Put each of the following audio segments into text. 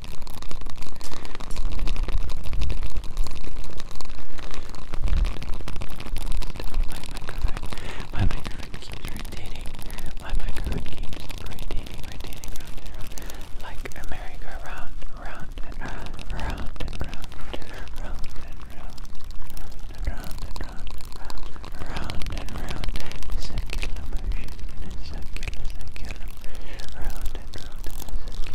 My microphone keeps rotating. My microphone keeps rotating, rotating round and round. Like a merry-go-round, round and round, round and round, round and round, round and round, round and round. Circular motion in a circular, circular, round and round in a circular.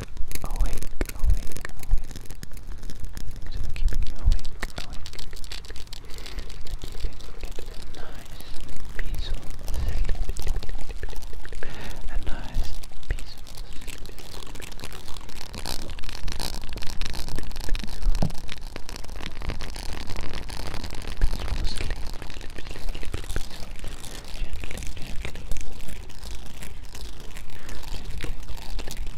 awake, awake, awake. So they're keeping you awake, awake. They're keeping it a nice, peaceful sleep. A nice, peaceful sleep. Peaceful sleep. Gently, gently, gently, gently,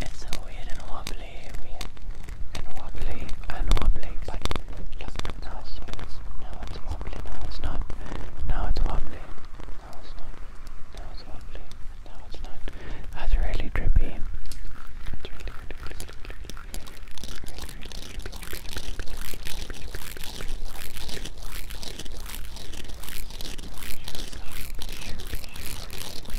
It's so weird and wobbly, weird and wobbly and wobbly, but look, now it's, now it's wobbly, now it's not, now it's wobbly, now it's not, now it's wobbly, now it's not. That's really trippy. It's really, really,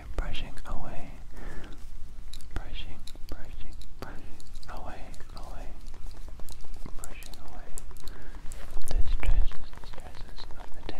away, brushing away, brushing, brushing, brushing away, away, brushing away the stresses, the stresses of the day.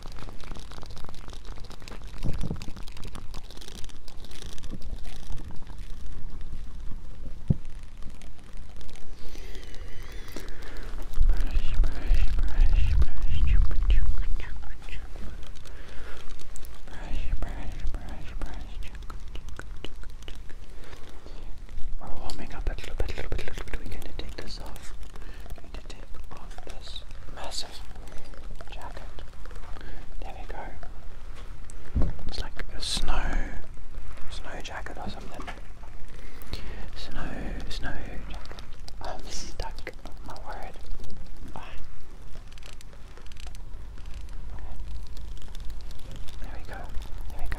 We're warming up a little bit, a little bit, a little bit. We're going to take this off going this massive jacket. There we go. It's like a snow, snow jacket or something. Snow, snow jacket. I'm stuck. Oh my word. There we go. there we go.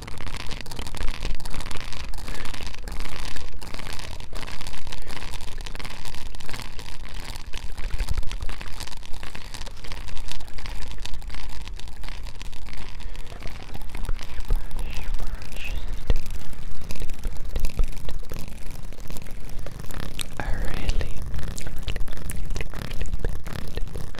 I really, really, really, really, really, really,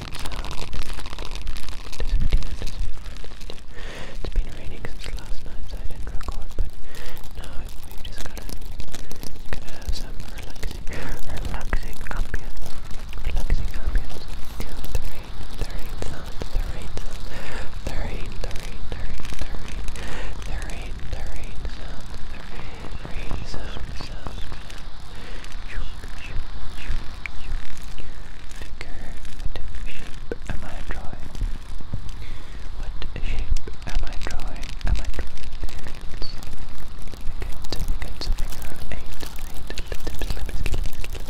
it's been raining since last night, so I didn't record, but now we've just got to gonna have some relaxing, relaxing ambience, relaxing ambience. The rain, the rain sounds, the rain sounds, the rain, the rain, the rain, the rain, the rain, the rain sounds, the rain, rain sounds, sounds, sounds. What curved shape am I drawing? What shape am I drawing? Am I drawing circles? Good, good, so figure out eight, eight, Good job, good job.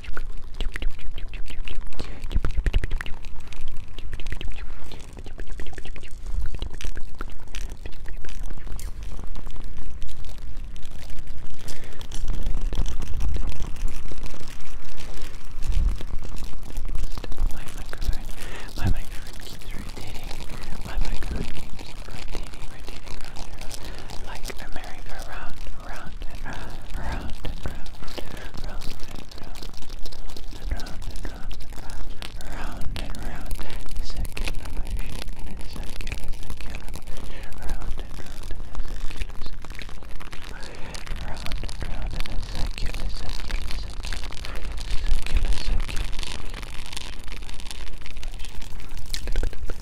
My microphone keeps rotating. My microphone keeps rotating, rotating, round and round. Like a merry-go-round, round and round, round and round, round and round, round and round, round and round, circular motion, circular, circular, round and round, round and round, circular, circular, circular, circular, circular, circular.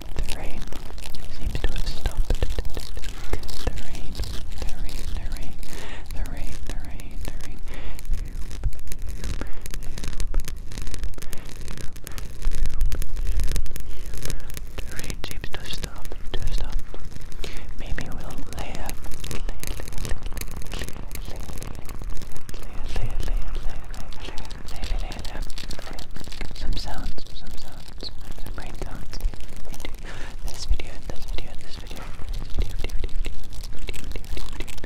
The rain seems to have stopped. The rain, the rain, the rain, the rain, the rain, the rain. The rain seems to have to have Maybe we'll lay up, lay, lay, lay, lay, lay, lay, lay, lay, lay, lay, lay, and have some sounds, some sounds, some brain sounds into this video, and this video, and this video, video, video, video, video, video, video, video, video,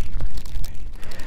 Right, right, right, right.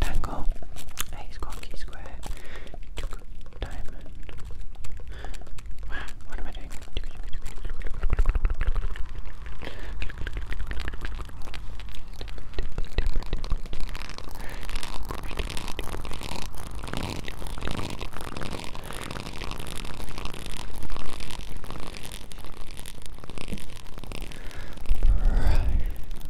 Tangle, Ace Quonky Square, Diamond. What am I doing?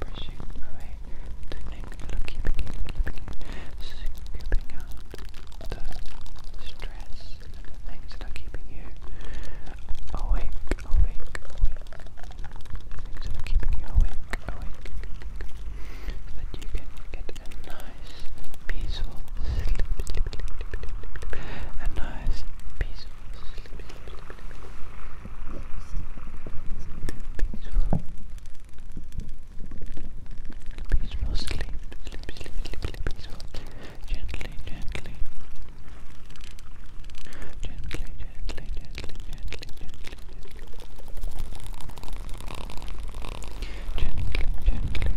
brushing away the neck, looking, looking, scooping out the stress and the keeping you awake, awake, awake. Things that keeping you awake, awake, so that you can get a nice, peaceful a nice, peaceful Peaceful. Peaceful sleep. Sleep, sleep, sleep, sleep, peaceful. Gently, gently. Gently, gently, gently, gently, gently, gently. Gently, gently,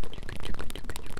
gently, gently.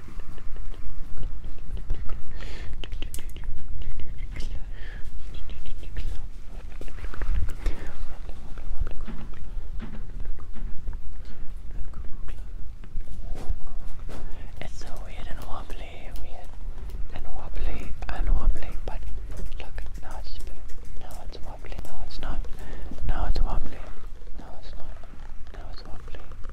It's so weird and wobbly, weird and wobbly and wobbly, but look, now it's now it's wobbly, now it's not, now it's wobbly, now it's not, now it's wobbly.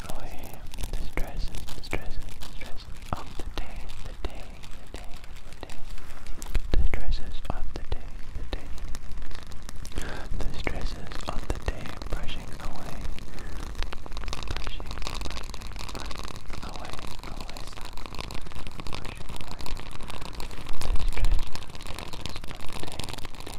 enjoy the stresses, the stresses, the stresses of the day, the day, the day, the day. The stresses of the day, the day. The stresses of the day brushing away. Brushing, brushing, brushing away, away. Brushing away. The stresses, stresses of the day.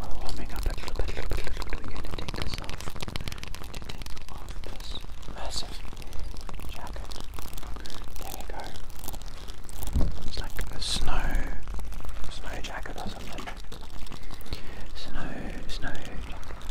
Well, we'll make up a little We're gonna take this off. We're gonna take off this massive jacket. There we go. It's like a snow, snow jacket or something. Snow, snow jacket.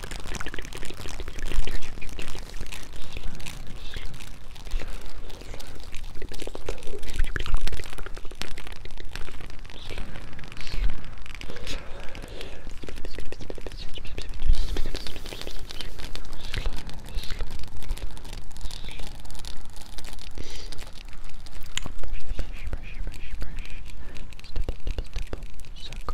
Brush, brush, brush, brush. Stipple, stipple, stipple. Circle,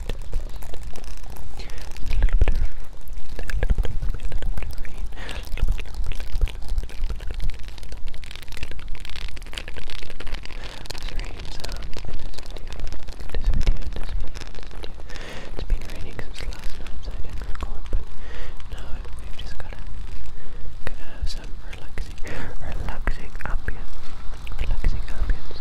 It's been raining since last night, so I didn't record, now we've just gotta, gotta have some relaxing, relaxing ambience, relaxing ambience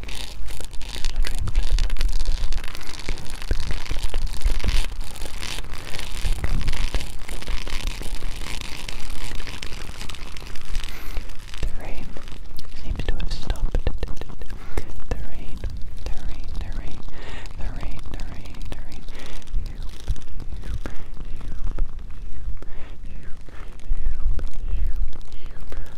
The rain seems to have stopped. The rain, the rain, the rain, the rain, the rain, the rain.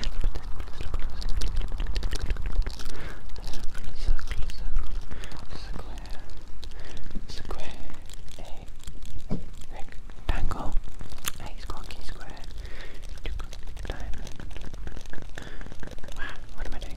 square, a rectangle, a squonky square, diamond. Wow, what am I doing?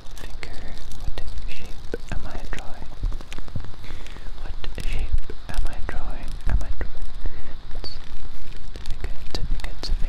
figure, what shape am I drawing? What shape am I drawing? Am I drawing? It's good to figure, it's a figure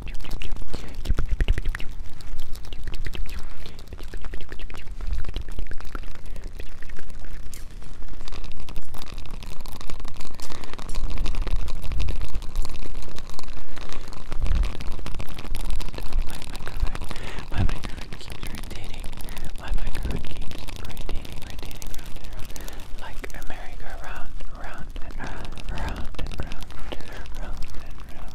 My microphone keeps rotating. My microphone keeps rotating, rotating, round and round. Like America, round, round and round, round and round, round and round, round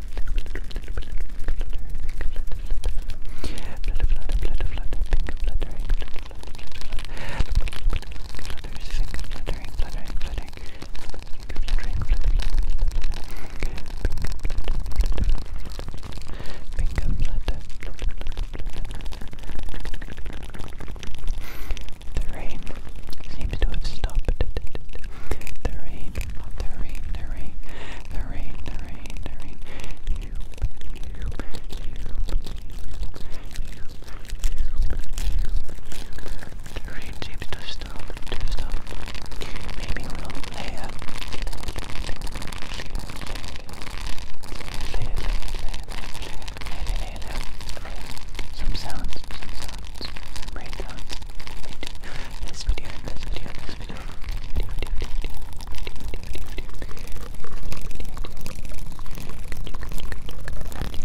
the rain seems to have stopped. The rain talking the rain, the rain, the rain, the rain, the rain. You, you, you, the rain seems to stop, to stop. Maybe we'll lay up. Some sounds, some sounds sounds, brain sounds. This video, this video, this video, video, video, video, video, video, video, Right.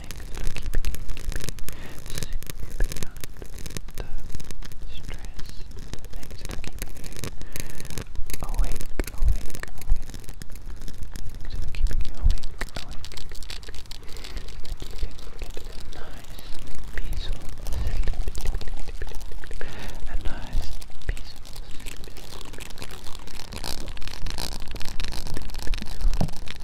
next to keep you the stress. Thanks for keeping you awake, awake, awake. Thanks for keeping you awake, awake. That you can get a nice, peaceful sleep. A nice, peaceful sleep. Peaceful, peaceful, peaceful, peaceful,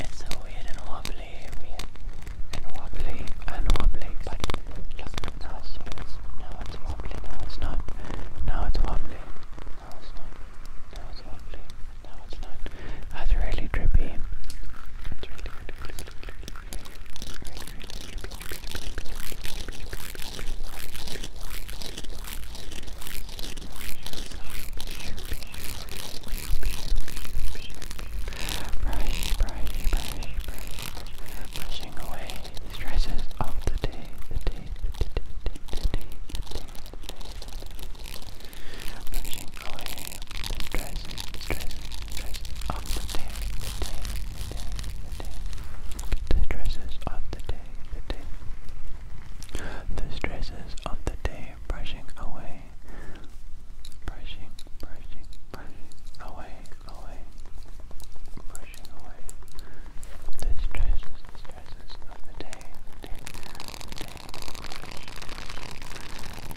It's so weird and wobbly, weird and wobbly and wobbly, but just now so it's now it's wobbly, now it's not, now it's wobbly, now it's not, That's really trippy. Brush, brush, brush, brush, brushing away the stresses of the day, the day, the day, the day, the day, the day, the day, the away the stresses, stresses, Traces of the day, the day, the day, the day. The traces of the day, the day. The stresses of the day brushing away. Brushing, brushing, brushing away, away, brushing away. The stresses, the of the day, day, day,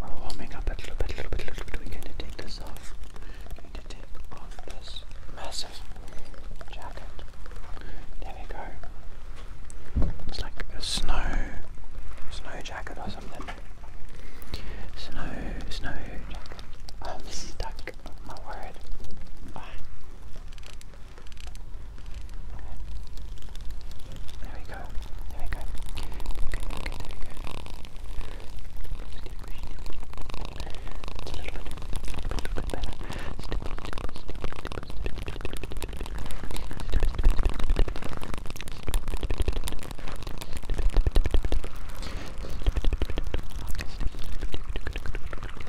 We're warming up a little bit, a little bit, a little bit. We're going to take this off. We're going to take off this massive jacket. There we go. It's like a snow, snow jacket or something. Snow, snow jacket. Oh, I'm stuck. Oh my word. Ah. There we go. There we go. Good, good, good, good, good. It's a little bit, a little bit better. Step, step, step, step, step, step, step,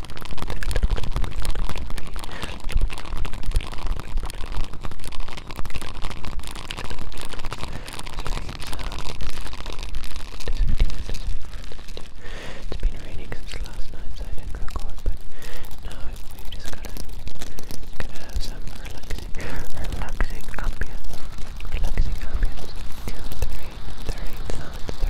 It's been raining since last night, so I didn't record, but now we've just gotta, gotta have some relaxing, relaxing ambience, relaxing ambience, the rain, the rain sounds, the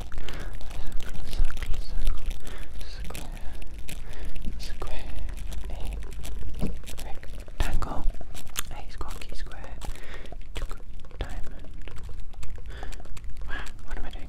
circle, circle, square, square, a rectangle, a squonky square, diamond. what am I doing?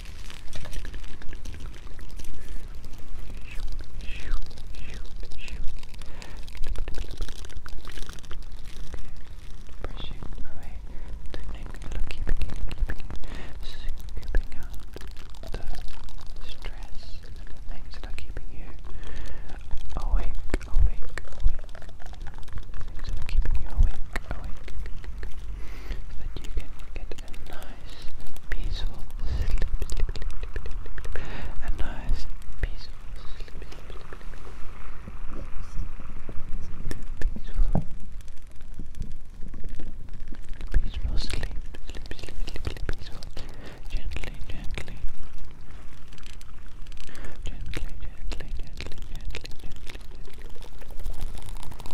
Pressing away the neck, keeping, keeping, scooping out the stress things are keeping you awake, awake, awake. Things are keeping you awake, awake that you can get a nice, peaceful sleep, a nice, peaceful sleep, peaceful, peaceful sleep, sleep, sleep, sleep, peaceful, gently, gently, gently, gently, gently.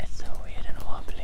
It's so weird and wobbly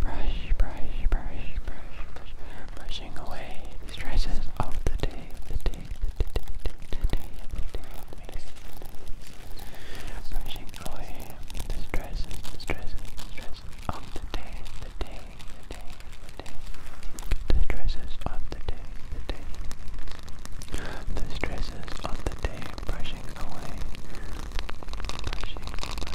brush, brush, brush, brush, brush, brushing away the stresses of the day, the day, the day, the day, the day, the day, the day. brushing away the stresses, the stresses, the stresses of the day, the day, the day, the day, the stresses of the day, the day. The stresses of the day brushing away, brushing away,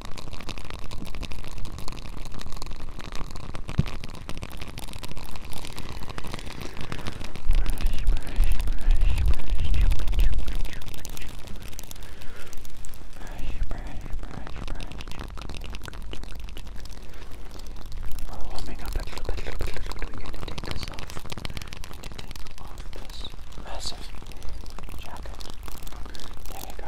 We're warming up a little bit, a little bit, a little bit. We're going to take this off. We're going to take off this massive jacket. There we go.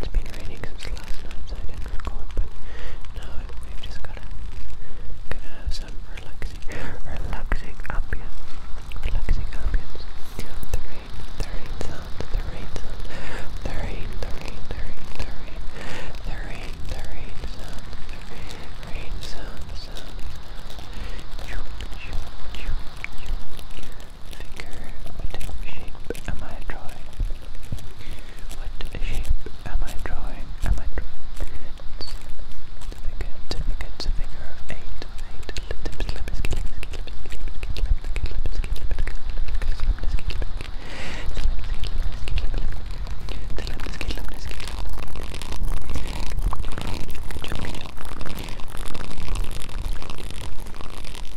It's been raining since last night, so I didn't record, but now we've just gotta, gotta have some relaxing, relaxing ambience, relaxing ambience. The rain, the rain sound, the rain sound, the rain, the rain, the rain, the rain, the rain, sound, the rain, rain sound, sound. Choop, choop, choop, choop. Finger, what shape am I drawing? What shape am I drawing? Am I drawing? It's a figure, it's a figure of eight. Eight.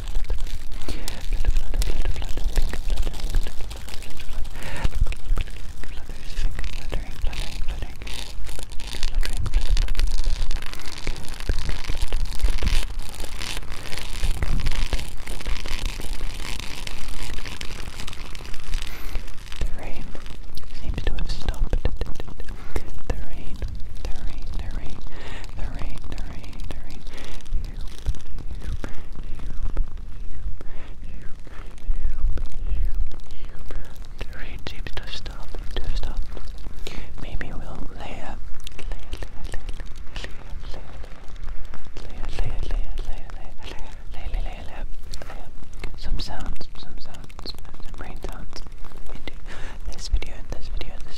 The rain seems to have stopped. The rain the rain, the rain, the rain, the rain, the rain. The rain seems to stop, to stop. Maybe we'll lay up, lay up, lay up, lay up, lay up, lay up, lay up, lay up, lay up, lay up, lay up, lay up, lay up, lay up, lay up. Some sounds, some sounds, some rain sounds into this video, this video, this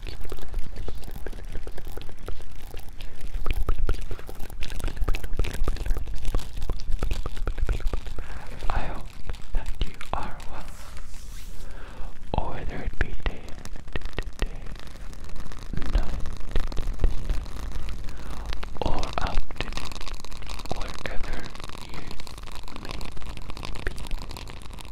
I hope that you are well, or there it be day, day, or afternoon, wherever you may be.